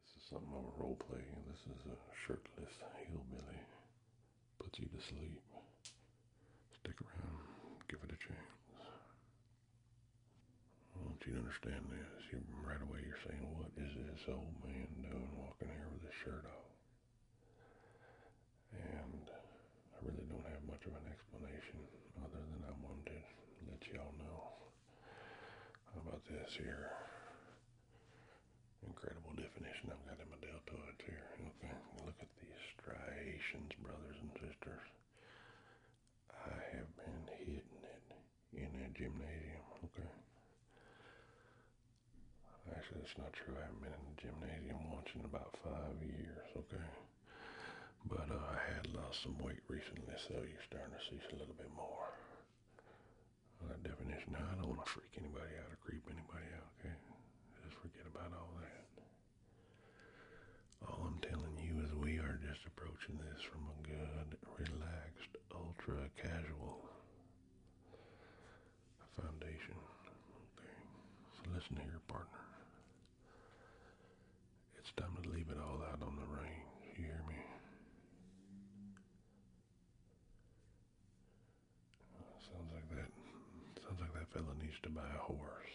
This is something I'm role playing. This is a shirtless hillbilly. Puts you to sleep. Stick around. Give it a chance. I want you to understand this. right away you're saying, What is this old man doing walking here with his shirt off? And I really don't have much of an explanation other than I wanted that y'all know. How about this here? Incredible definition I've got in my deltoids here. Okay, look at these striations, brothers and sisters. I have been hitting it in a gymnasium, okay? Actually, that's not true. I haven't been in the gymnasium once in about five years, okay? But uh, I had lost some weight recently, so you're starting to see a little bit more that definition. I don't want to freak anybody out or creep anybody out, okay? Just forget about all that. All I'm telling you is we are just approaching this from a good, relaxed, ultra casual foundation. Okay. So listen here, partner. It's time to leave it all out on the range. You hear me? Sounds like that. Sounds like that fella needs to buy a horse.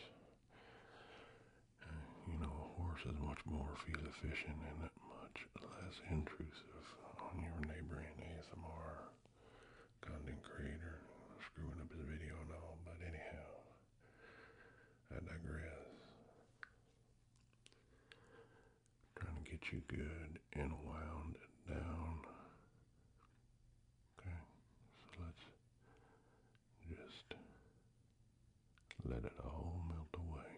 you know, a horse is much more feel efficient and much less intrusive on your neighboring ASMR content creator screwing up his video and all. But anyhow, I digress trying to get you good and wound down. Okay, so let's just let it all melt away.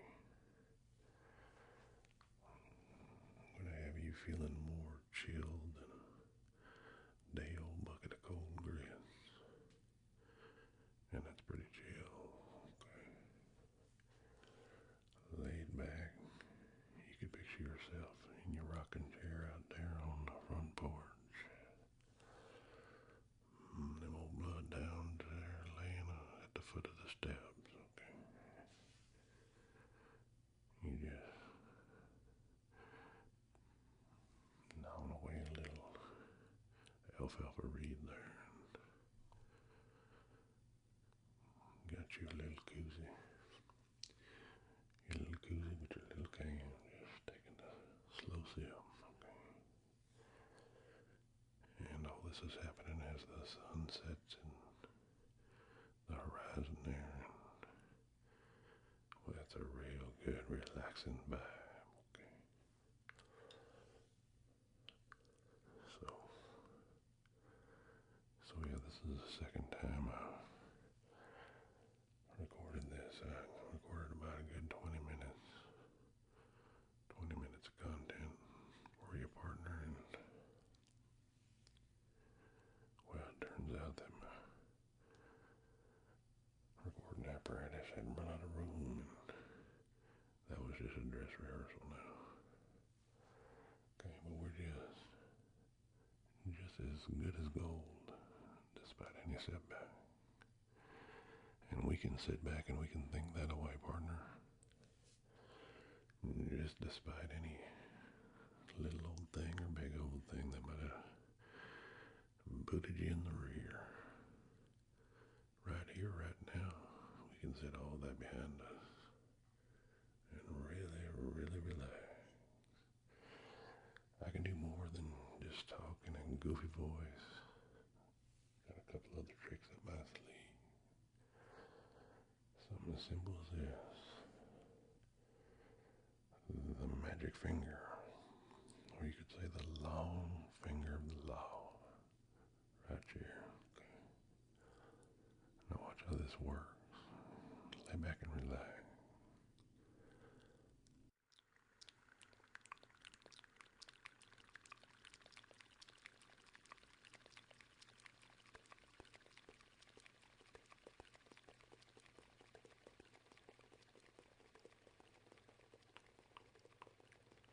I'm going to have you feeling more chilled than a day old bucket of cold grits. And that's pretty chill. Okay laid back. You could picture yourself in your rocking chair out there on the front porch. Mm, them old blood downs there laying uh, at the foot of the steps, okay? You just gnawing away a little alfalfa reed there Got your little koozie. Your little cozy, with your little can. Just taking a slow sip. Okay. And all this is happening as the sun sets and the horizon there. well, that's a real good relaxing vibe. Okay. So, so yeah, this is the second time I recorded this. I recorded about a good 20 minutes, 20 minutes of content for your partner, and well, it turns out that my recording apparatus had run out of room that was just a dress rehearsal now. Okay, but we're just just as good as gold despite any setback. And we can sit back and we can think that away, partner. Just despite any little old thing or big old thing that might have booted you in the rear right here, right now. We can set all that behind us and really, really relax. I can do more than just talk in a goofy voice. Got a couple other tricks up my sleeve. Something as simple as this. The magic finger. Or you could say the long finger of the Right here. Now watch how this works. Lay back and relax.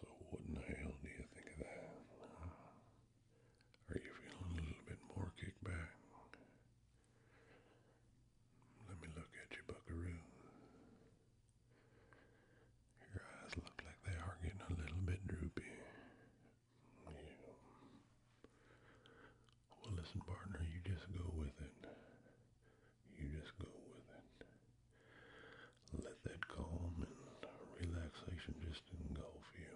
So, what in the hell do you think of that? Are you feeling a little bit more kickback? Let me look at you, buckaroo. Your eyes look like they are getting a little bit droopy. Well, listen, partner, you just go with it. You just go with it. Let that calm and relaxation just engulf you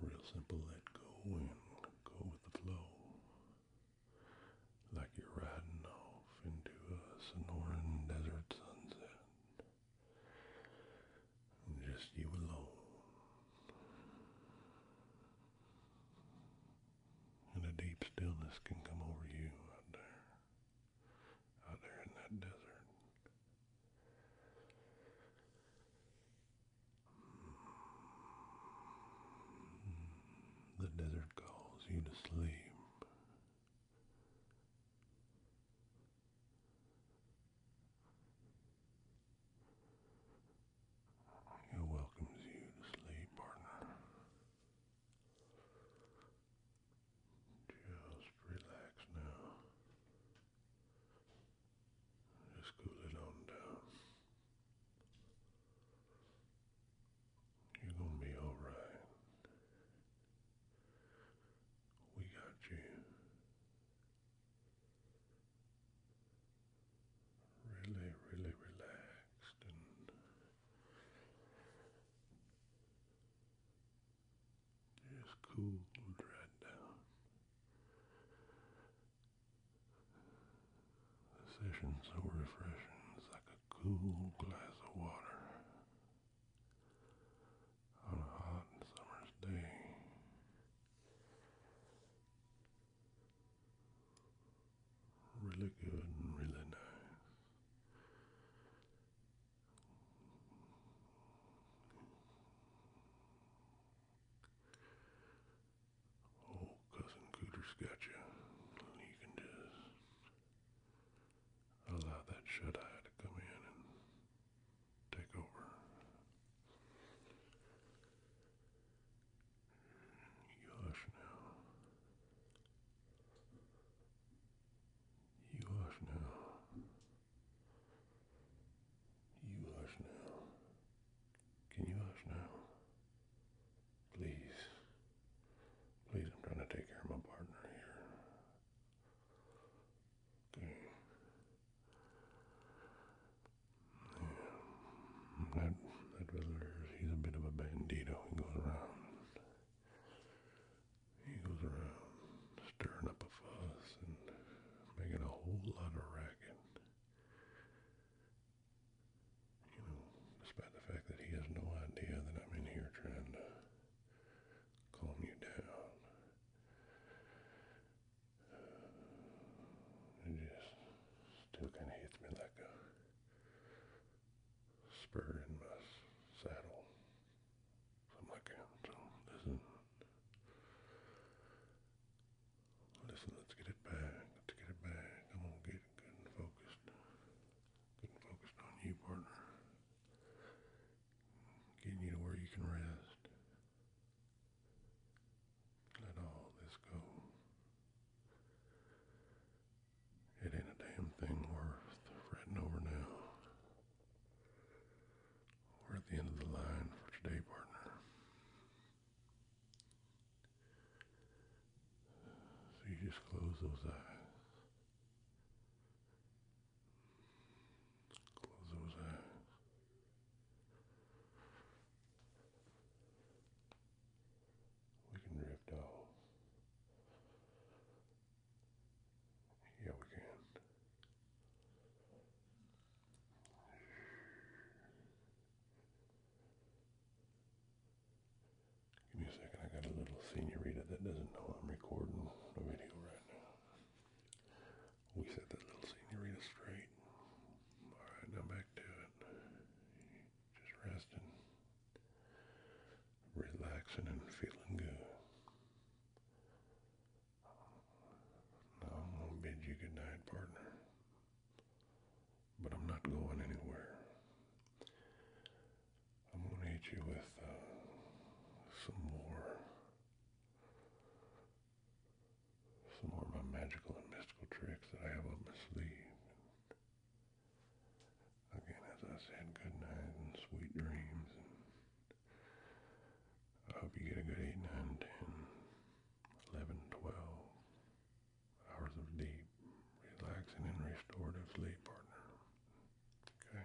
real simple, let go and go with the flow. Like you're riding off into a Sonoran desert sunset. Just you alone. And a deep stillness can come over you out there. Out there in that desert. The desert calls you to sleep. It welcomes you to sleep, partner. Just relax now. Just cool it on down. You're gonna be alright. We got you. Really, really relaxed and it's cool right down. The session refreshing is like a cool glass of water on a hot summer's day. Really good really nice. Old oh, cousin cooter got you, and you can just allow that shut eye to come in and take over. You hush now. You hush now. You hush now. Can you ask now? Please. Please, I'm trying to take care of my partner here. Okay. That, that visitor, he's a bit of a bandito. He goes around. He goes around stirring up a fuss and making a whole lot of racket. You know, despite the fact that he has no idea that I'm in here trying to calm you down. Uh, just still kind of hits me like a spur in my saddle something like that. So listen, listen. Let's get it back. Let's get it back. I'm gonna get good and focused. Good focused on you, partner. Getting you to where you can rest. Let all this go. It ain't a damn thing worth fretting over now. We're at the end of the line for today, partner. So you just close those eyes. Close those eyes. We can drift off. Yeah, we can. Give me a second, I got a little senorita that doesn't know I'm recording a video right now. We set that little senorita straight. Alright, now back to it. Just resting, relaxing, and feeling good. I'm gonna bid you good night, partner. But I'm not going anywhere. I'm gonna hit you with uh, some more, some more of my magical and mystical tricks that I have up my sleeve. again, as I said, good and sweet dreams. I hope you get a good 8, 9, 10, 11, 12 hours of deep, relaxing and restorative sleep, partner. Okay.